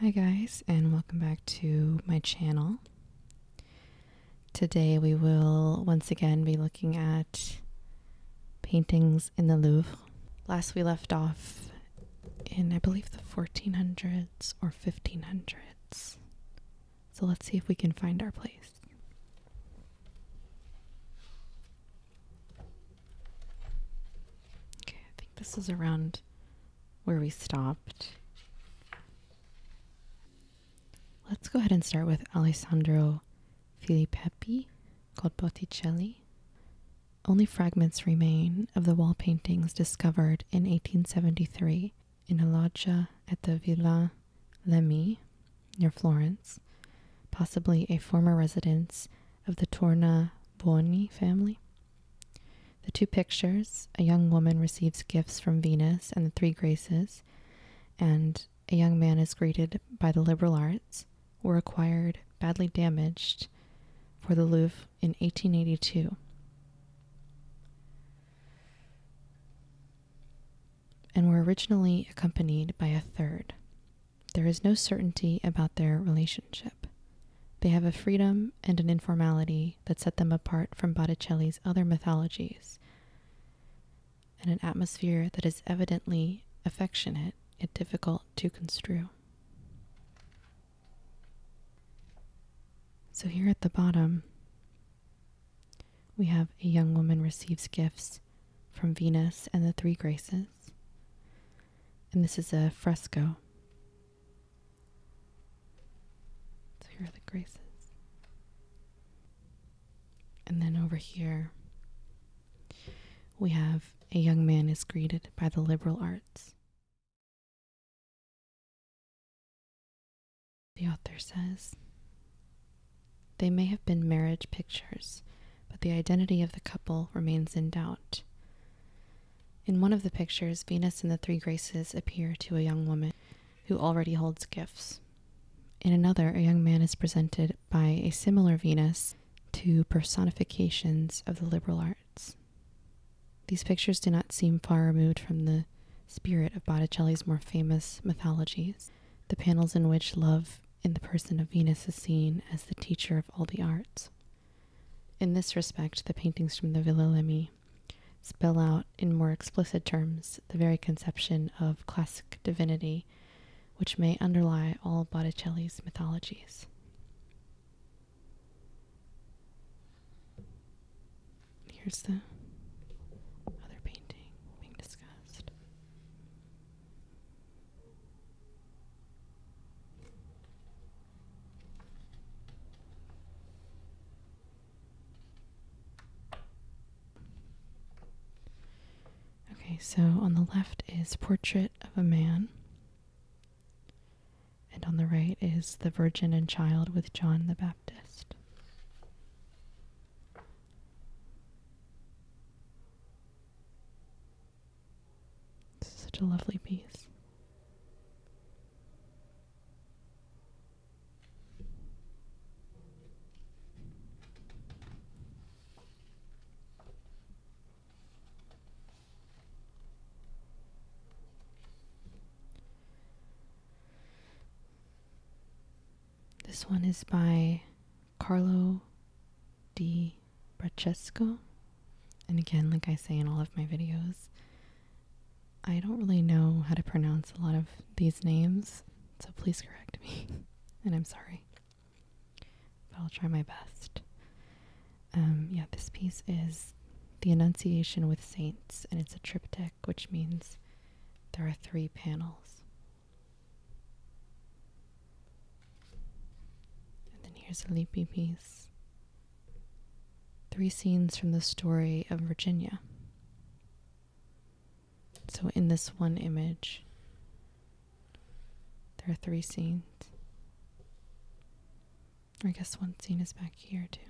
Hi guys and welcome back to my channel. Today we will once again be looking at paintings in the Louvre. Last we left off in I believe the 1400s or 1500s. So let's see if we can find our place. Okay, I think this is around where we stopped. Let's go ahead and start with Alessandro Filippi called Botticelli. Only fragments remain of the wall paintings discovered in 1873 in a loggia at the Villa Lemmy, near Florence, possibly a former residence of the Tornabuoni family. The two pictures a young woman receives gifts from Venus and the Three Graces, and a young man is greeted by the liberal arts, were acquired badly damaged for the Louvre in 1882 and were originally accompanied by a third. There is no certainty about their relationship. They have a freedom and an informality that set them apart from Botticelli's other mythologies, and an atmosphere that is evidently affectionate yet difficult to construe. So, here at the bottom, we have a young woman receives gifts from Venus and the Three Graces. And this is a fresco. So here are the graces. And then over here, we have a young man is greeted by the liberal arts. The author says, they may have been marriage pictures, but the identity of the couple remains in doubt. In one of the pictures, Venus and the Three Graces appear to a young woman who already holds gifts. In another, a young man is presented by a similar Venus to personifications of the liberal arts. These pictures do not seem far removed from the spirit of Botticelli's more famous mythologies, the panels in which love in the person of Venus is seen as the teacher of all the arts. In this respect, the paintings from the Villa Lemi spell out in more explicit terms the very conception of classic divinity which may underlie all Botticelli's mythologies. Here's the other painting being discussed. Okay, so on the left is Portrait of a Man, and on the right is The Virgin and Child with John the Baptist. This is such a lovely piece. This one is by Carlo Di Braccesco, And again, like I say in all of my videos, I don't really know how to pronounce a lot of these names, so please correct me. and I'm sorry. But I'll try my best. Um, yeah, this piece is The Annunciation with Saints, and it's a triptych, which means there are three panels. And then here's a leafy piece. Three scenes from the story of Virginia. So, in this one image, there are three scenes. I guess one scene is back here, too.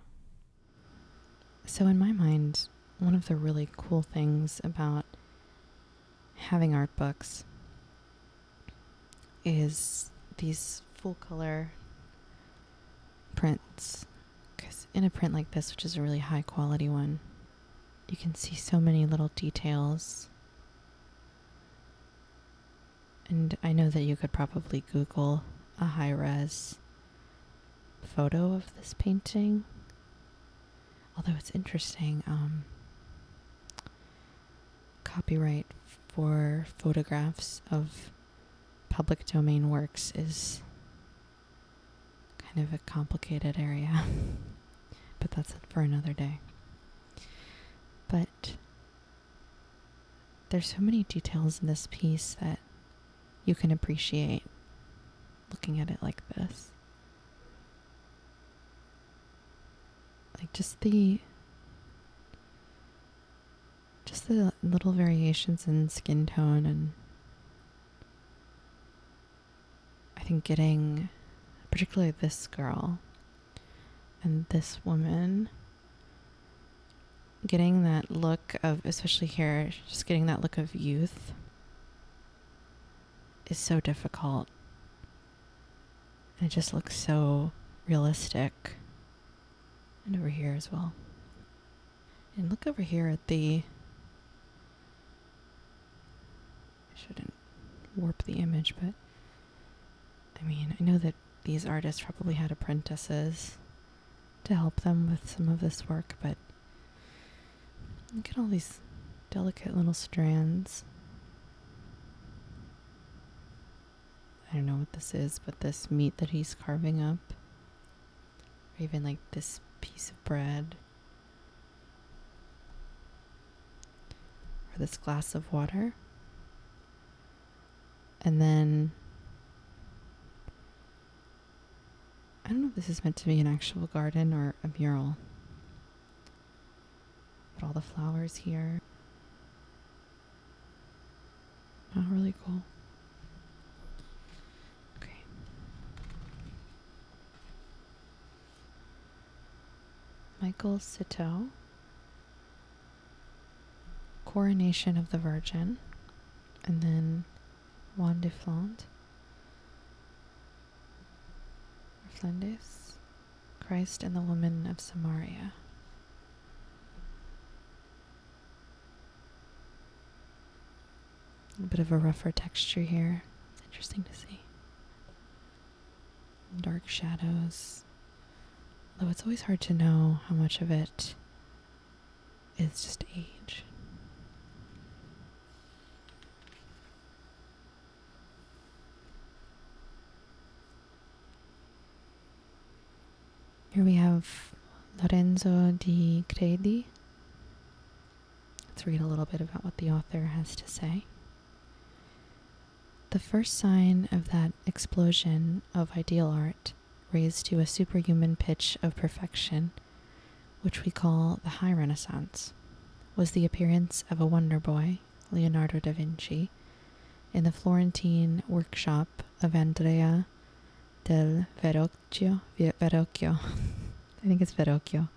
So, in my mind, one of the really cool things about having art books is these full color prints. Because in a print like this, which is a really high quality one, you can see so many little details. And I know that you could probably Google a high res photo of this painting Although it's interesting, um, copyright for photographs of public domain works is kind of a complicated area, but that's for another day. But there's so many details in this piece that you can appreciate looking at it like this like just the just the little variations in skin tone and I think getting particularly this girl and this woman getting that look of especially here just getting that look of youth is so difficult. it just looks so realistic. And over here as well. And look over here at the. I shouldn't warp the image, but. I mean, I know that these artists probably had apprentices to help them with some of this work, but Look at all these delicate little strands. I don't know what this is, but this meat that he's carving up, or even like this piece of bread, or this glass of water. And then I don't know if this is meant to be an actual garden or a mural. But all the flowers here. Not really cool. Okay. Michael Citeau. Coronation of the Virgin. And then Juan de Flant of Christ and the woman of Samaria. A bit of a rougher texture here. Interesting to see. Dark shadows. Though it's always hard to know how much of it is just age. Here we have Lorenzo di Credi. Let's read a little bit about what the author has to say. The first sign of that explosion of ideal art, raised to a superhuman pitch of perfection, which we call the High Renaissance, was the appearance of a wonder boy, Leonardo da Vinci, in the Florentine workshop of Andrea del Verrocchio. Verrocchio. I think it's Verrocchio.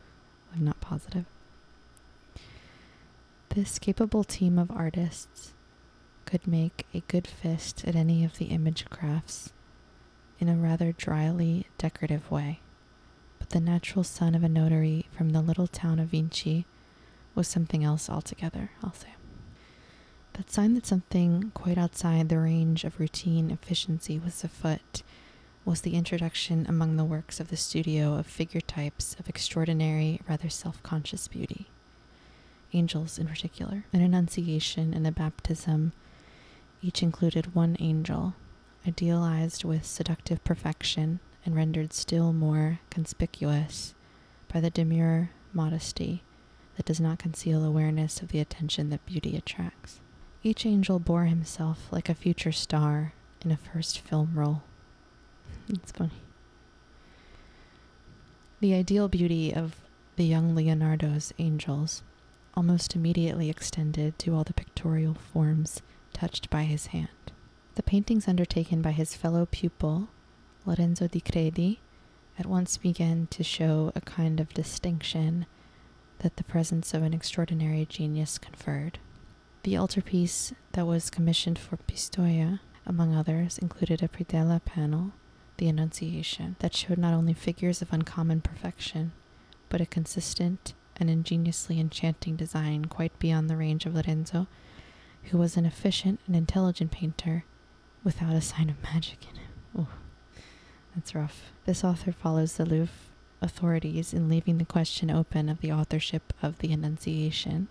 I'm not positive. This capable team of artists could make a good fist at any of the image crafts in a rather dryly decorative way. But the natural son of a notary from the little town of Vinci was something else altogether, I'll say. That sign that something quite outside the range of routine efficiency was afoot was the introduction among the works of the studio of figure types of extraordinary, rather self conscious beauty. Angels in particular, an Annunciation and a Baptism each included one angel idealized with seductive perfection and rendered still more conspicuous by the demure modesty that does not conceal awareness of the attention that beauty attracts. Each angel bore himself like a future star in a first film role. it's funny. The ideal beauty of the young Leonardo's angels almost immediately extended to all the pictorial forms touched by his hand. The paintings undertaken by his fellow pupil, Lorenzo di Credi, at once began to show a kind of distinction that the presence of an extraordinary genius conferred. The altarpiece that was commissioned for Pistoia, among others, included a predella panel, the Annunciation, that showed not only figures of uncommon perfection, but a consistent an ingeniously enchanting design quite beyond the range of Lorenzo, who was an efficient and intelligent painter without a sign of magic in him. Oh, that's rough. This author follows the Louvre authorities in leaving the question open of the authorship of the Annunciation,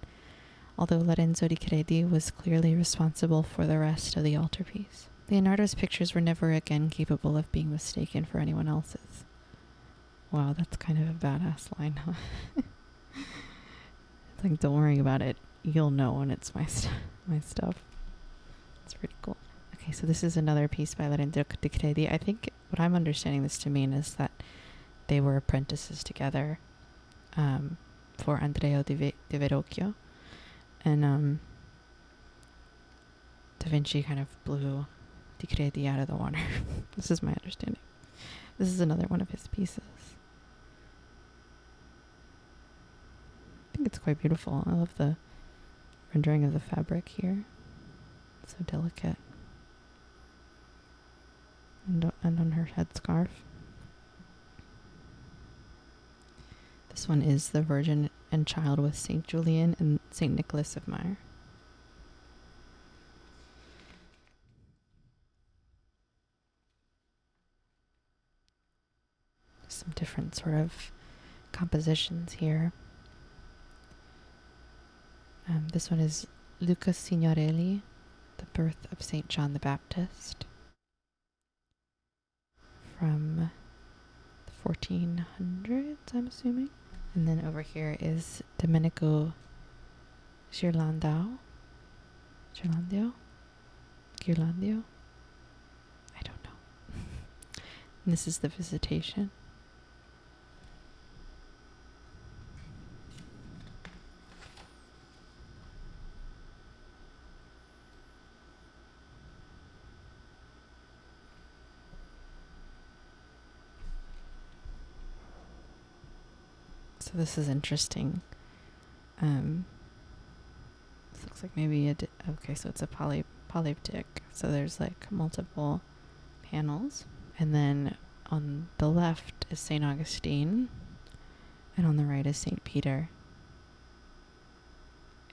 although Lorenzo di Credi was clearly responsible for the rest of the altarpiece. Leonardo's pictures were never again capable of being mistaken for anyone else's. Wow, that's kind of a badass line, huh? it's like, don't worry about it. You'll know when it's my, my stuff. It's pretty cool. Okay, so this is another piece by Lorenzo Credi. I think what I'm understanding this to mean is that they were apprentices together um, for Andrea de, Ve- Verocchio. And um, Da Vinci kind of blew Di out of the water. this is my understanding. This is another one of his pieces. I think it's quite beautiful. I love the rendering of the fabric here. so delicate. And, and on her headscarf. This one is the Virgin and Child with St. Julian and St. Nicholas of Myre. Some different sort of compositions here. Um, this one is Luca Signorelli, The Birth of St. John the Baptist, from the 1400s, I'm assuming. And then over here is Domenico Girlandao. Girlandio? Girlandio? I don't know. this is the visitation. So this is interesting. Um, this looks like maybe a okay, so it's a poly polyptic. So there's like multiple panels, and then on the left is Saint Augustine, and on the right is Saint Peter.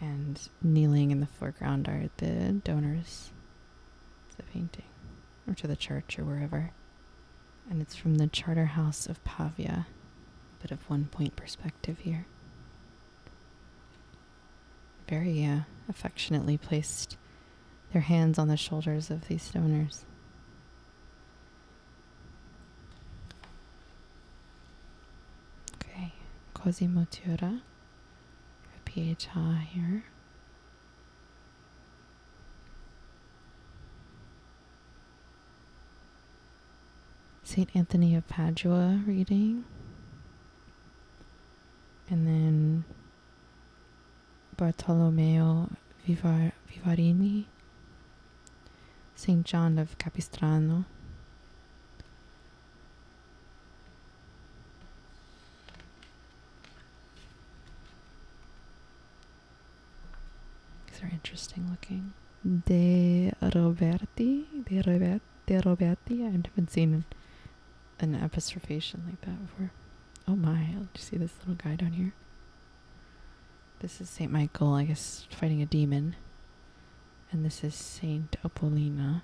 And kneeling in the foreground are the donors. It's a painting or to the church or wherever. And it's from the Charterhouse of Pavia, but of one point perspective here. Very uh, affectionately placed their hands on the shoulders of these donors. Okay, Cosimo Tura, a PHI here. St. Anthony of Padua reading, and then Bartolomeo Vivarini, St. John of Capistrano, these are interesting looking. De Roberti? De, Robert, De Roberti? I haven't seen an apostrophation like that before. Oh my, did see this little guy down here? This is St. Michael, I guess, fighting a demon. And this is St. Apolina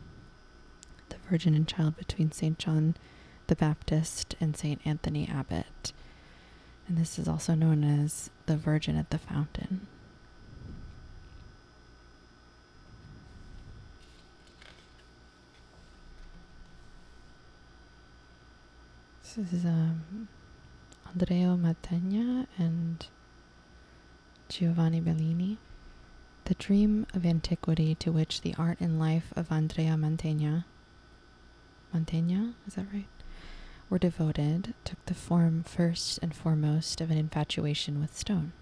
the Virgin and Child between St. John the Baptist and St. Anthony Abbot. And this is also known as the Virgin at the Fountain. This is um, Andrea Mantegna and Giovanni Bellini. The dream of antiquity to which the art and life of Andrea Mantegna. Mantegna, is that right? Were devoted, took the form first and foremost of an infatuation with stone.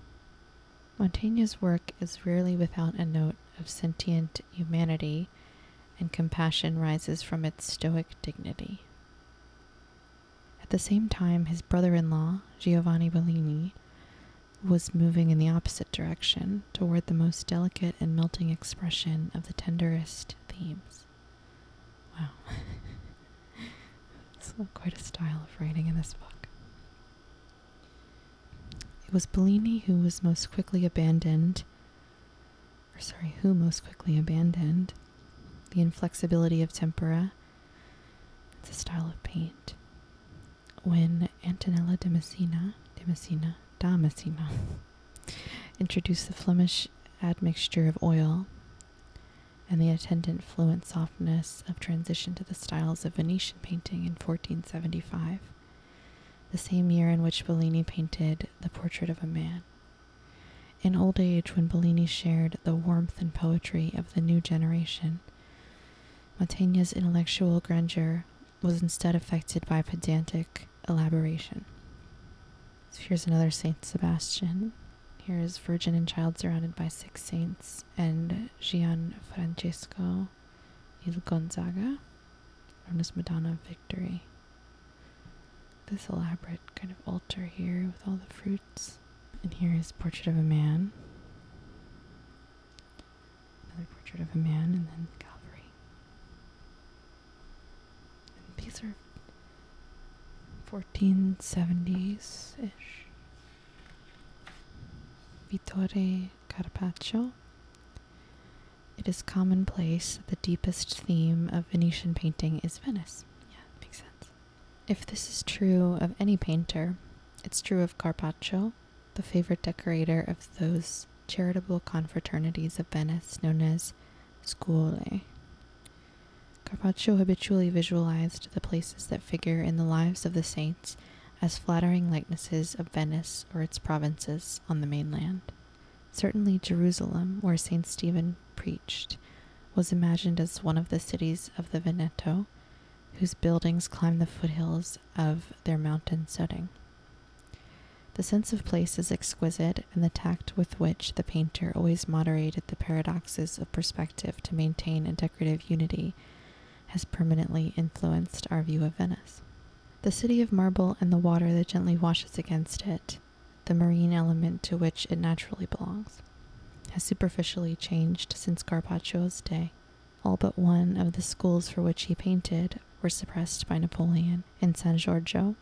Mantegna's work is rarely without a note of sentient humanity, and compassion rises from its stoic dignity. At the same time, his brother in law, Giovanni Bellini, was moving in the opposite direction toward the most delicate and melting expression of the tenderest themes. Wow. it's quite a style of writing in this book. It was Bellini who was most quickly abandoned, or sorry, who most quickly abandoned the inflexibility of tempera. It's a style of paint when Antonella de Messina, de Messina, da Messina introduced the Flemish admixture of oil and the attendant fluent softness of transition to the styles of Venetian painting in 1475, the same year in which Bellini painted The Portrait of a Man. In old age, when Bellini shared the warmth and poetry of the new generation, Mantegna's intellectual grandeur was instead affected by pedantic elaboration. here's another Saint Sebastian. Here is Virgin and Child surrounded by six saints and Gian Francesco Il Gonzaga, known as Madonna of Victory. This elaborate kind of altar here with all the fruits. And here is Portrait of a Man. Another portrait of a man, and then the Calvary. And these are 1470s ish. Vittore Carpaccio. It is commonplace that the deepest theme of Venetian painting is Venice. Yeah, makes sense. If this is true of any painter, it's true of Carpaccio, the favorite decorator of those charitable confraternities of Venice known as scuole. Carpaccio habitually visualized the places that figure in the lives of the saints as flattering likenesses of Venice or its provinces on the mainland. Certainly, Jerusalem, where St. Stephen preached, was imagined as one of the cities of the Veneto, whose buildings climb the foothills of their mountain setting. The sense of place is exquisite, and the tact with which the painter always moderated the paradoxes of perspective to maintain a decorative unity has permanently influenced our view of Venice. The city of marble and the water that gently washes against it, the marine element to which it naturally belongs, has superficially changed since Carpaccio's day. All but one of the schools for which he painted were suppressed by Napoleon in San Giorgio.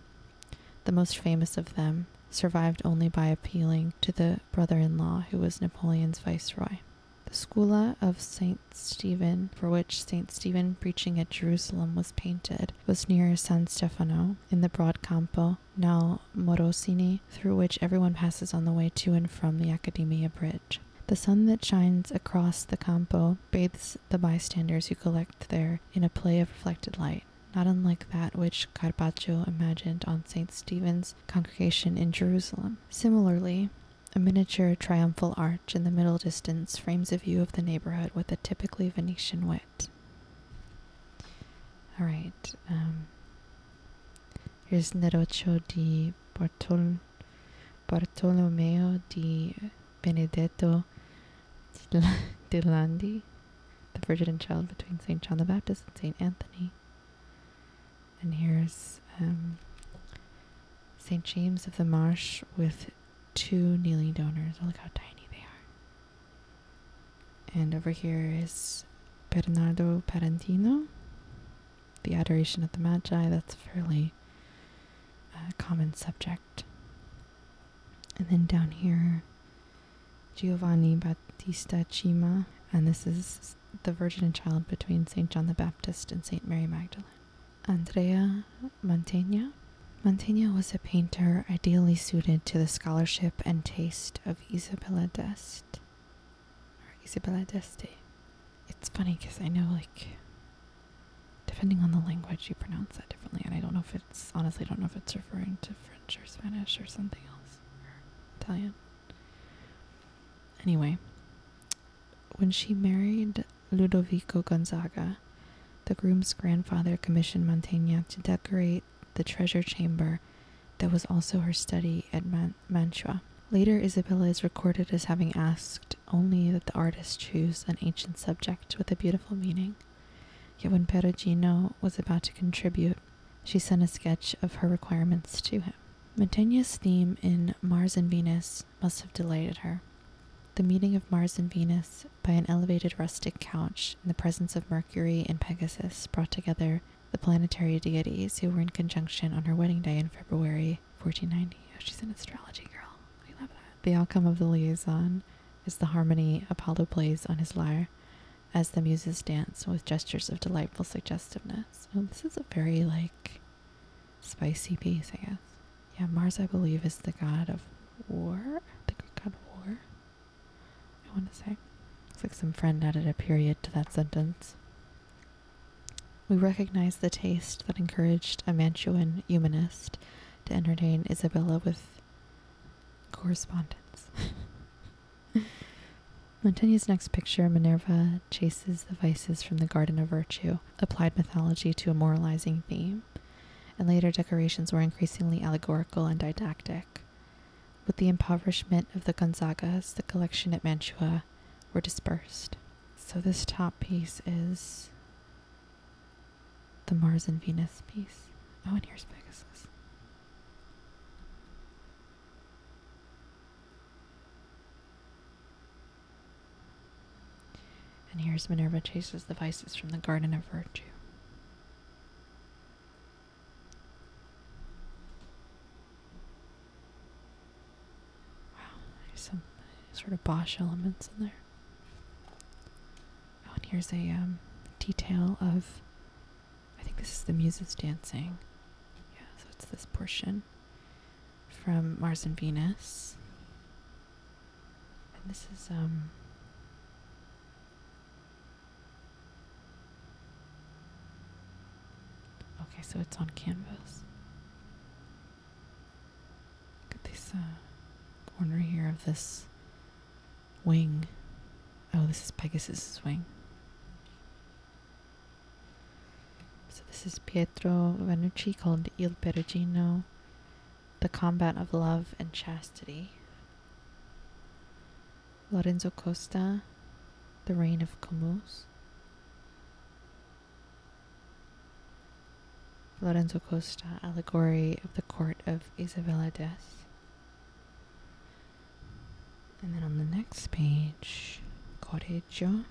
The most famous of them survived only by appealing to the brother in law who was Napoleon's viceroy. The Scuola of St. Stephen, for which St. Stephen preaching at Jerusalem was painted, was near San Stefano in the broad Campo, now Morosini, through which everyone passes on the way to and from the Accademia Bridge. The sun that shines across the Campo window bathes the bystanders who collect there in a play of reflected light, not unlike that which Carpaccio imagined on St. Stephen's congregation in Jerusalem. Similarly, a miniature triumphal arch in the middle distance frames a view of the neighborhood with a typically Venetian wit. All right, um, here's Neroccio di Bortol Bartolomeo di Benedetto de Landi, the Virgin and Child between St. John the Baptist and St. Anthony. And here's um, St. James of the Marsh with two kneeling donors. look how tiny they are. And over here is Bernardo Parentino the adoration of the Magi, that's a fairly uh, common subject. And then down here, Giovanni Battista Cima, and this is the Virgin and Child between St. John the Baptist and St. Mary Magdalene. Andrea Mantegna. Mantegna was a painter ideally suited to the scholarship and taste of Isabella d'Este, Isabella d'Este, it's funny because I know like depending on the language you pronounce that differently and I don't know if it's honestly I don't know if it's referring to French or Spanish or something else or Italian. Anyway, when she married Ludovico Gonzaga, the groom's grandfather commissioned Mantegna to decorate the treasure chamber that was also her study at Mantua. Later, Isabella is recorded as having asked only that the artist choose an ancient subject with a beautiful meaning. Yet when Perugino was about to contribute, she sent a sketch of her requirements to him. Mantegna's theme in Mars and Venus must have delighted her. The meeting of Mars and Venus by an elevated rustic couch in the presence of Mercury and Pegasus brought together the planetary deities who were in conjunction on her wedding day in February 1490. Oh, she's an astrology girl. We love that. The outcome of the liaison is the harmony Apollo plays on his lyre as the muses dance with gestures of delightful suggestiveness. Oh, this is a very, like, spicy piece, I guess. Yeah, Mars, I believe, is the god of war. The god of war, I want to say. Looks like some friend added a period to that sentence. We recognize the taste that encouraged a Mantuan humanist to entertain Isabella with correspondence. Montaigne's next picture, Minerva, chases the vices from the Garden of Virtue, applied mythology to a moralizing theme, and later decorations were increasingly allegorical and didactic. With the impoverishment of the Gonzagas, the collection at Mantua were dispersed. So this top piece is the Mars and Venus piece. Oh, and here's Pegasus. And here's Minerva chases the vices from the Garden of Virtue. Wow, there's some sort of Bosch elements in there. Oh, and here's a um, detail of. I think this is the Muses dancing. Yeah, so it's this portion from Mars and Venus. And this is um Okay, so it's on canvas. Look at this uh, corner here of this wing. Oh, this is Pegasus's wing. So this is Pietro Vanucci called Il Perugino, The Combat of Love and Chastity. Lorenzo Costa, The Reign of Comus. Lorenzo Costa, Allegory of the Court of Isabella des. And then on the next page, Correggio.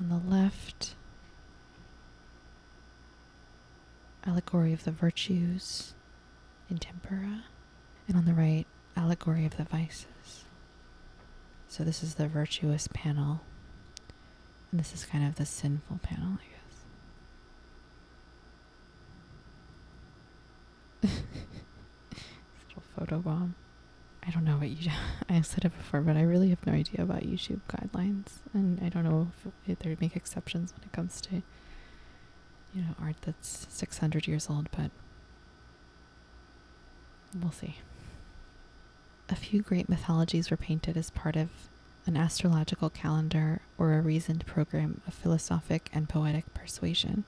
On the left, Allegory of the Virtues in Tempera. And on the right, Allegory of the Vices. So this is the virtuous panel, and this is kind of the sinful panel, I guess. little photo I don't know what you. I said it before, but I really have no idea about YouTube guidelines, and I don't know if they make exceptions when it comes to, you know, art that's six hundred years old. But We'll see. A few great mythologies were painted as part of an astrological calendar or a reasoned program of philosophic and poetic persuasion,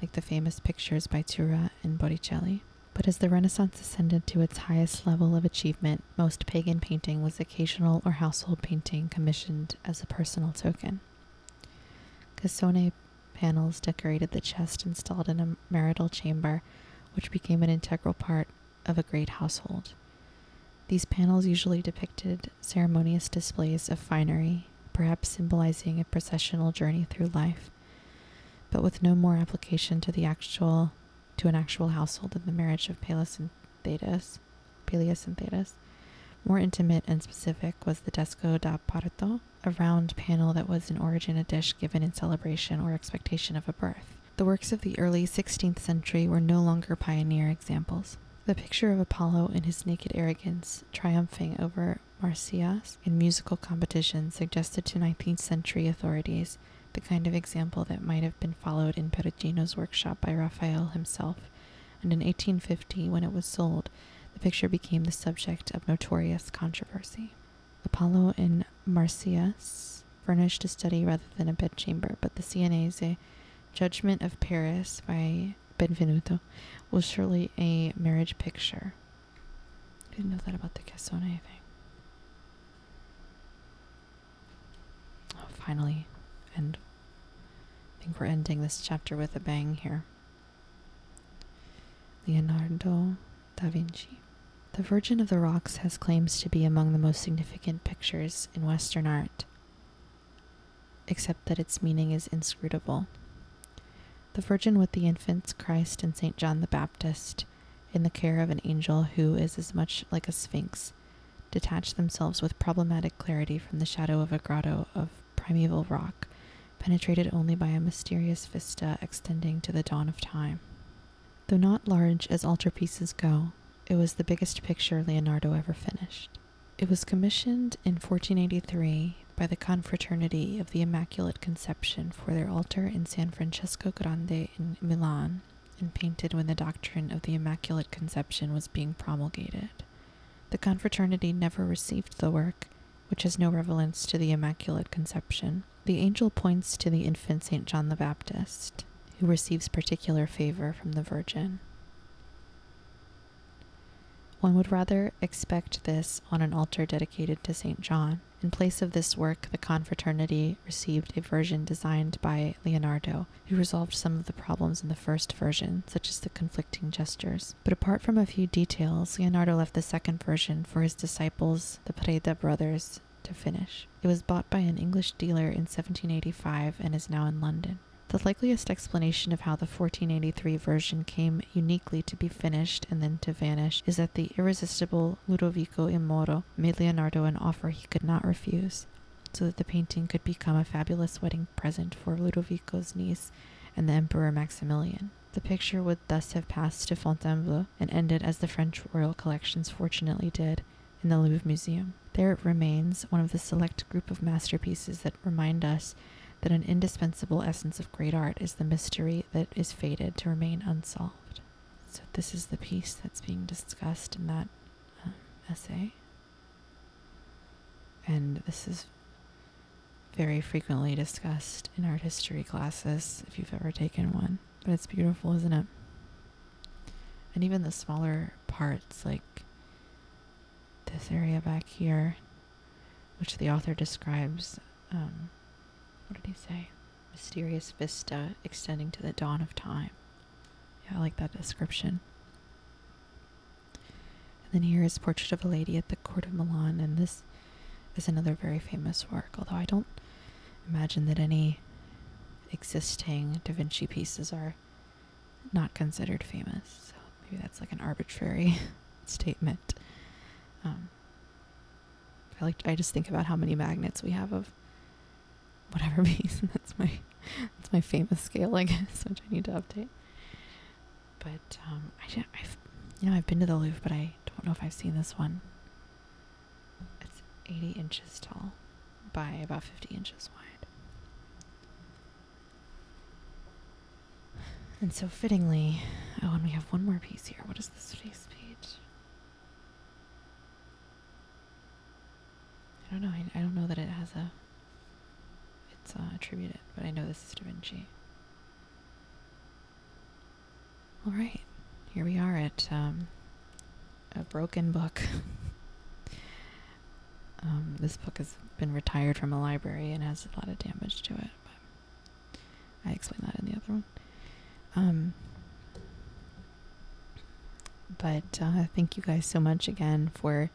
like the famous pictures by Tura and Botticelli. But as the Renaissance ascended to its highest level of achievement, most pagan painting was occasional or household painting commissioned as a personal token. Cassone panels decorated the chest installed in a marital chamber, which became an integral part of a great household. These panels usually depicted ceremonious displays of finery, perhaps symbolizing a processional journey through life, but with no more application to the actual to an actual household than the marriage of Peleus and Thetis. Peleus and Thetis. More intimate and specific was the desco da parto, a round panel that was in origin a dish given in celebration or expectation of a birth. The works of the early 16th century were no longer pioneer examples. The picture of Apollo in his naked arrogance triumphing over Marsyas in musical competition suggested to 19th century authorities the kind of example that might have been followed in Perugino's workshop by Raphael himself, and in 1850, when it was sold, the picture became the subject of notorious controversy. Apollo and Marsyas furnished a study rather than a bedchamber, but the Sienese Judgment of Paris by Benvenuto was surely a marriage picture. I didn't know that about the Cassone thing. Oh, finally, and I think we're ending this chapter with a bang here. Leonardo Da Vinci. The Virgin of the Rocks has claims to be among the most significant pictures in Western art, except that its meaning is inscrutable. The Virgin with the infants, Christ, and St. John the Baptist, in the care of an angel who is as much like a sphinx, detach themselves with problematic clarity from the shadow of a grotto of primeval rock penetrated only by a mysterious vista extending to the dawn of time. Though not large as altarpieces go, it was the biggest picture Leonardo ever finished. It was commissioned in 1483 by the Confraternity of the Immaculate Conception for their altar in San Francesco Grande in Milan, and painted when the doctrine of the Immaculate Conception was being promulgated. The Confraternity never received the work, which has no relevance to the Immaculate Conception, the angel points to the infant St. John the Baptist, who receives particular favor from the Virgin. One would rather expect this on an altar dedicated to St. John. In place of this work, the confraternity received a version designed by Leonardo, who resolved some of the problems in the first version, such as the conflicting gestures. But apart from a few details, Leonardo left the second version for his disciples the Preda brothers, to finish. It was bought by an English dealer in 1785 and is now in London. The likeliest explanation of how the 1483 version came uniquely to be finished and then to vanish is that the irresistible Ludovico Immoro made Leonardo an offer he could not refuse, so that the painting could become a fabulous wedding present for Ludovico's niece and the Emperor Maximilian. The picture would thus have passed to Fontainebleau and ended as the French royal collections fortunately did in the Louvre Museum. There it remains, one of the select group of masterpieces that remind us that an indispensable essence of great art is the mystery that is fated to remain unsolved. So, this is the piece that's being discussed in that um, essay. And this is very frequently discussed in art history classes if you've ever taken one. But it's beautiful, isn't it? And even the smaller parts, like this area back here, which the author describes, um, what did he say? Mysterious vista extending to the dawn of time. Yeah, I like that description. And then here is Portrait of a Lady at the Court of Milan, and this is another very famous work, although I don't imagine that any existing Da Vinci pieces are not considered famous. So maybe that's like an arbitrary statement. Um, I like I just think about how many magnets we have of whatever piece, and that's my that's my famous scale, I guess, which I need to update. But um, I I've you know I've been to the Louvre, but I don't know if I've seen this one. It's 80 inches tall by about 50 inches wide. And so fittingly, oh, and we have one more piece here. What is this face page? I don't know. I, I don't know that it has a. It's uh, attributed, but I know this is Da Vinci. All right, here we are at um, a broken book. Um, this book has been retired from a library and has a lot of damage to it. I explained that in the other one. Um, but uh, thank you guys so much again for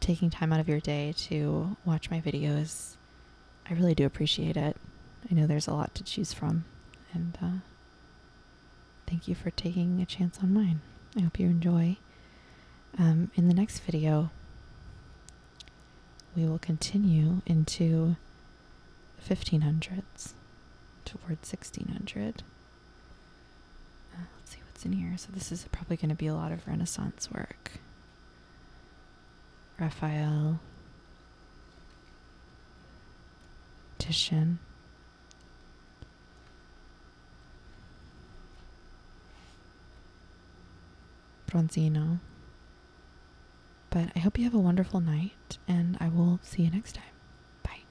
taking time out of your day to watch my videos I really do appreciate it. I know there's a lot to choose from, and uh, thank you for taking a chance on mine. I hope you enjoy. Um, in the next video, we will continue into 1500s towards 1600. Uh, let's see what's in here. So, this is probably going to be a lot of Renaissance work. Raphael, Titian. Bronzino. But I hope you have a wonderful night, and I will see you next time. Bye.